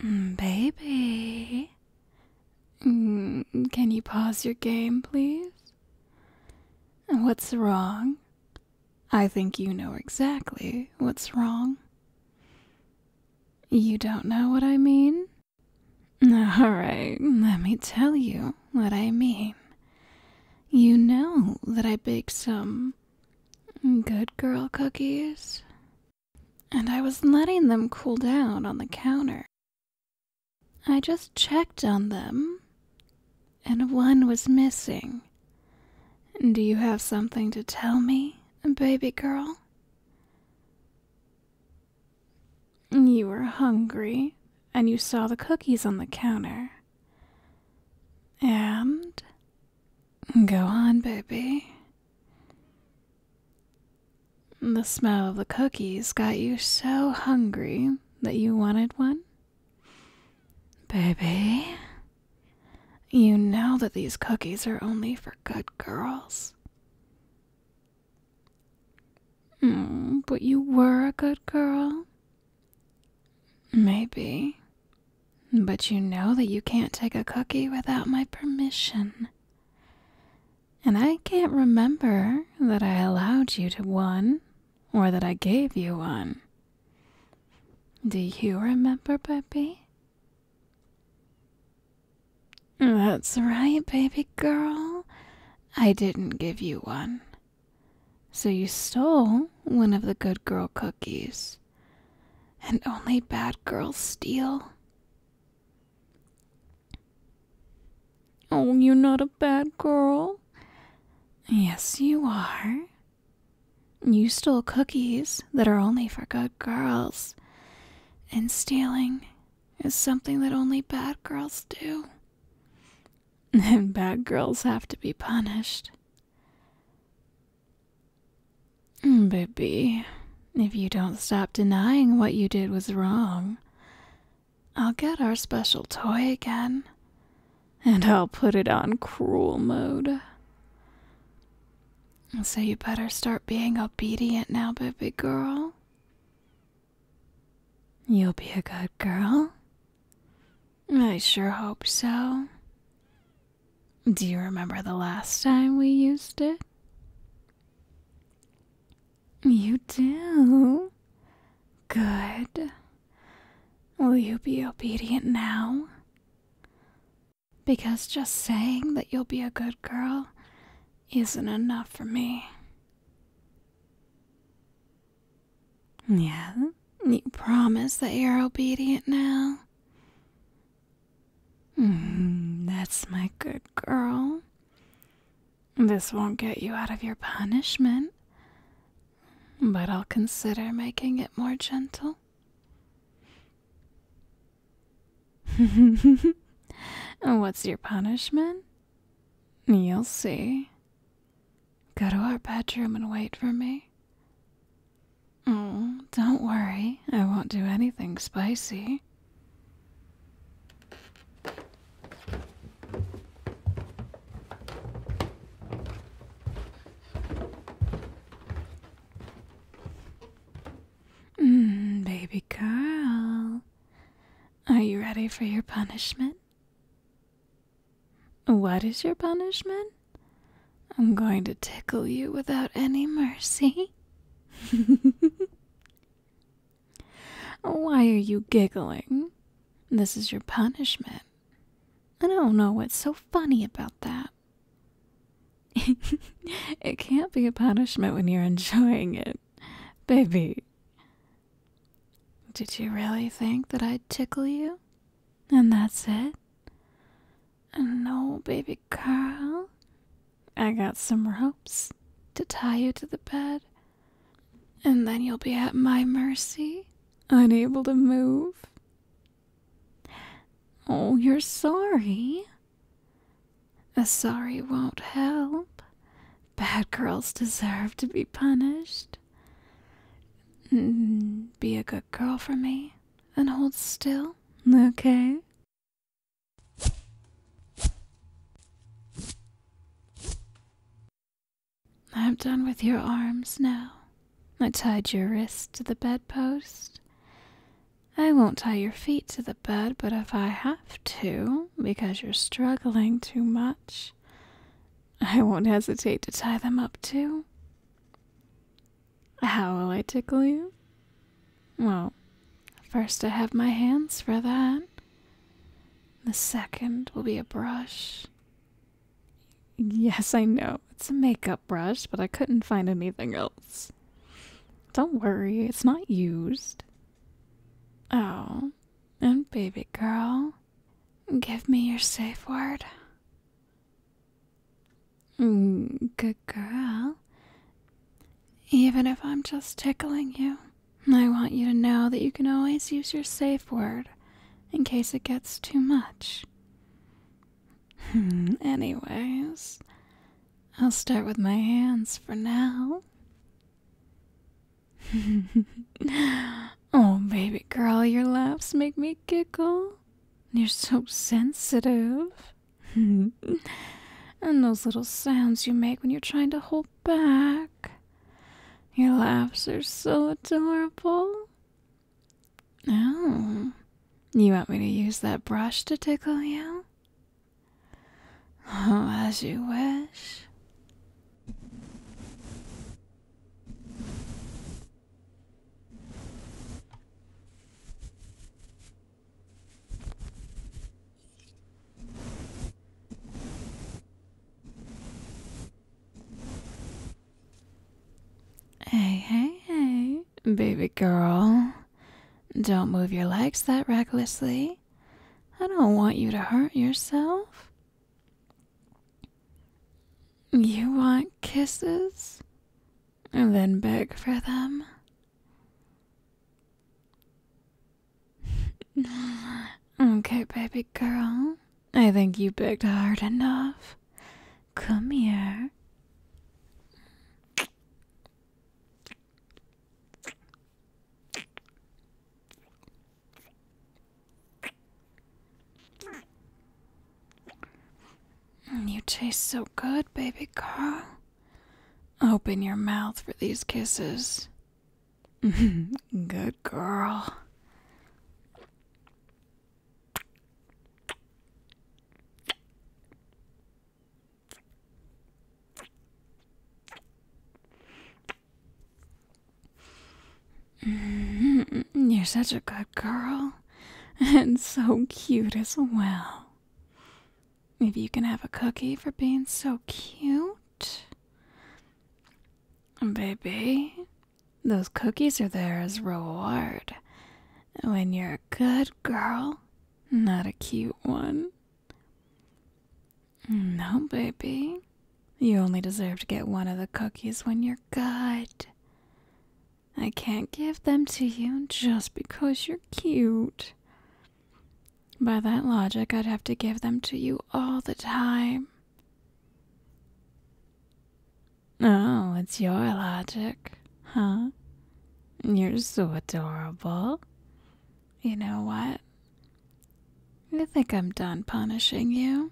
Mm, baby, mm, can you pause your game, please? What's wrong? I think you know exactly what's wrong. You don't know what I mean? Alright, let me tell you what I mean. You know that I bake some good girl cookies and I was letting them cool down on the counter. I just checked on them, and one was missing. Do you have something to tell me, baby girl? You were hungry, and you saw the cookies on the counter. And Go on, baby. The smell of the cookies got you so hungry that you wanted one? Baby, you know that these cookies are only for good girls. Hmm, but you were a good girl. Maybe. But you know that you can't take a cookie without my permission. And I can't remember that I allowed you to one or that I gave you one. Do you remember, Puppy? That's right, baby girl. I didn't give you one. So you stole one of the good girl cookies and only bad girls steal. Oh, you're not a bad girl. Yes, you are. You stole cookies that are only for good girls, and stealing is something that only bad girls do. And bad girls have to be punished. Mm, baby, if you don't stop denying what you did was wrong, I'll get our special toy again and I'll put it on cruel mode. So you better start being obedient now, baby girl. You'll be a good girl. I sure hope so. Do you remember the last time we used it? You do. Good. Will you be obedient now? Because just saying that you'll be a good girl isn't enough for me. Yeah, you promise that you're obedient now? Hmm, that's my good girl. This won't get you out of your punishment, but I'll consider making it more gentle. What's your punishment? You'll see. Go to our bedroom and wait for me? Oh, don't worry. I won't do anything spicy. Mmm, baby girl, Are you ready for your punishment? What is your punishment? I'm going to tickle you without any mercy. Why are you giggling? This is your punishment. I don't know what's so funny about that. it can't be a punishment when you're enjoying it, baby. Did you really think that I'd tickle you? And that's it? No, baby Carl. I got some ropes to tie you to the bed, and then you'll be at my mercy, unable to move. Oh, you're sorry. A sorry won't help. Bad girls deserve to be punished. Mm, be a good girl for me and hold still, okay? I'm done with your arms now. I tied your wrists to the bedpost. I won't tie your feet to the bed, but if I have to, because you're struggling too much, I won't hesitate to tie them up too. How will I tickle you? Well, first I have my hands for that. The second will be a brush. Yes, I know. It's a makeup brush, but I couldn't find anything else. Don't worry, it's not used. Oh, and baby girl, Give me your safe word. Mm, good girl. Even if I'm just tickling you, I want you to know that you can always use your safe word in case it gets too much. Hmm, anyways, I'll start with my hands for now. oh, baby girl, your laughs make me giggle. You're so sensitive. and those little sounds you make when you're trying to hold back. Your laughs are so adorable. Oh, you want me to use that brush to tickle you? as you wish. Hey, hey, hey, baby girl. Don't move your legs that recklessly. I don't want you to hurt yourself. You want kisses? And then beg for them? okay, baby girl. I think you begged hard enough. Come here. Mm, you taste so good, baby Carl. Open your mouth for these kisses. good girl. Mm-hmm. you're such a good girl. And so cute as well. Maybe you can have a cookie for being so cute. Baby, those cookies are there as reward. When you're a good girl, not a cute one. No, baby. You only deserve to get one of the cookies when you're good. I can't give them to you just because you're cute. By that logic, I'd have to give them to you all the time. Oh, it's your logic, huh? You're so adorable. You know what? I think I'm done punishing you.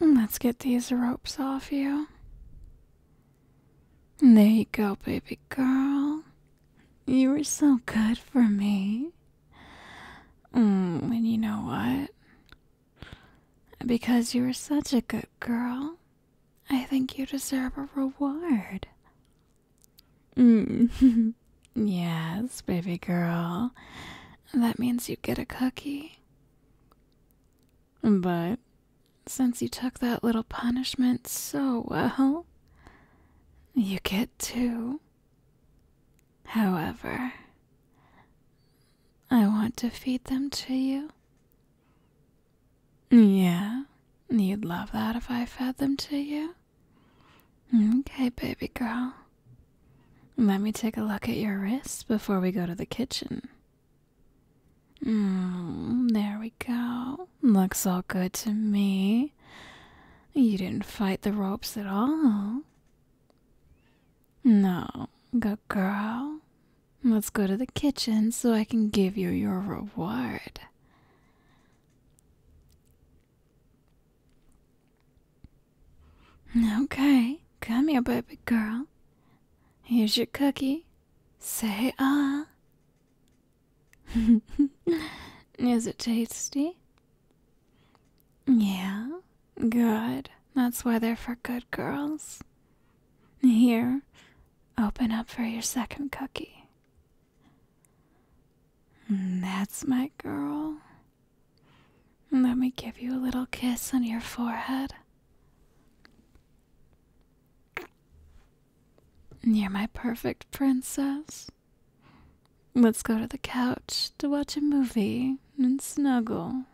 Let's get these ropes off you. There you go, baby girl. You were so good for me. Mm, and you know what? Because you were such a good girl, I think you deserve a reward. Mm. yes, baby girl. That means you get a cookie. But since you took that little punishment so well, you get two. However, I want to feed them to you yeah, you'd love that if I fed them to you. Okay, baby girl. Let me take a look at your wrists before we go to the kitchen. Mm, there we go. Looks all good to me. You didn't fight the ropes at all. No, good girl. Let's go to the kitchen so I can give you your reward. Okay, come here, baby girl. Here's your cookie. Say ah. Is it tasty? Yeah, good. That's why they're for good girls. Here, open up for your second cookie. That's my girl. Let me give you a little kiss on your forehead. You're my perfect princess. Let's go to the couch to watch a movie and snuggle.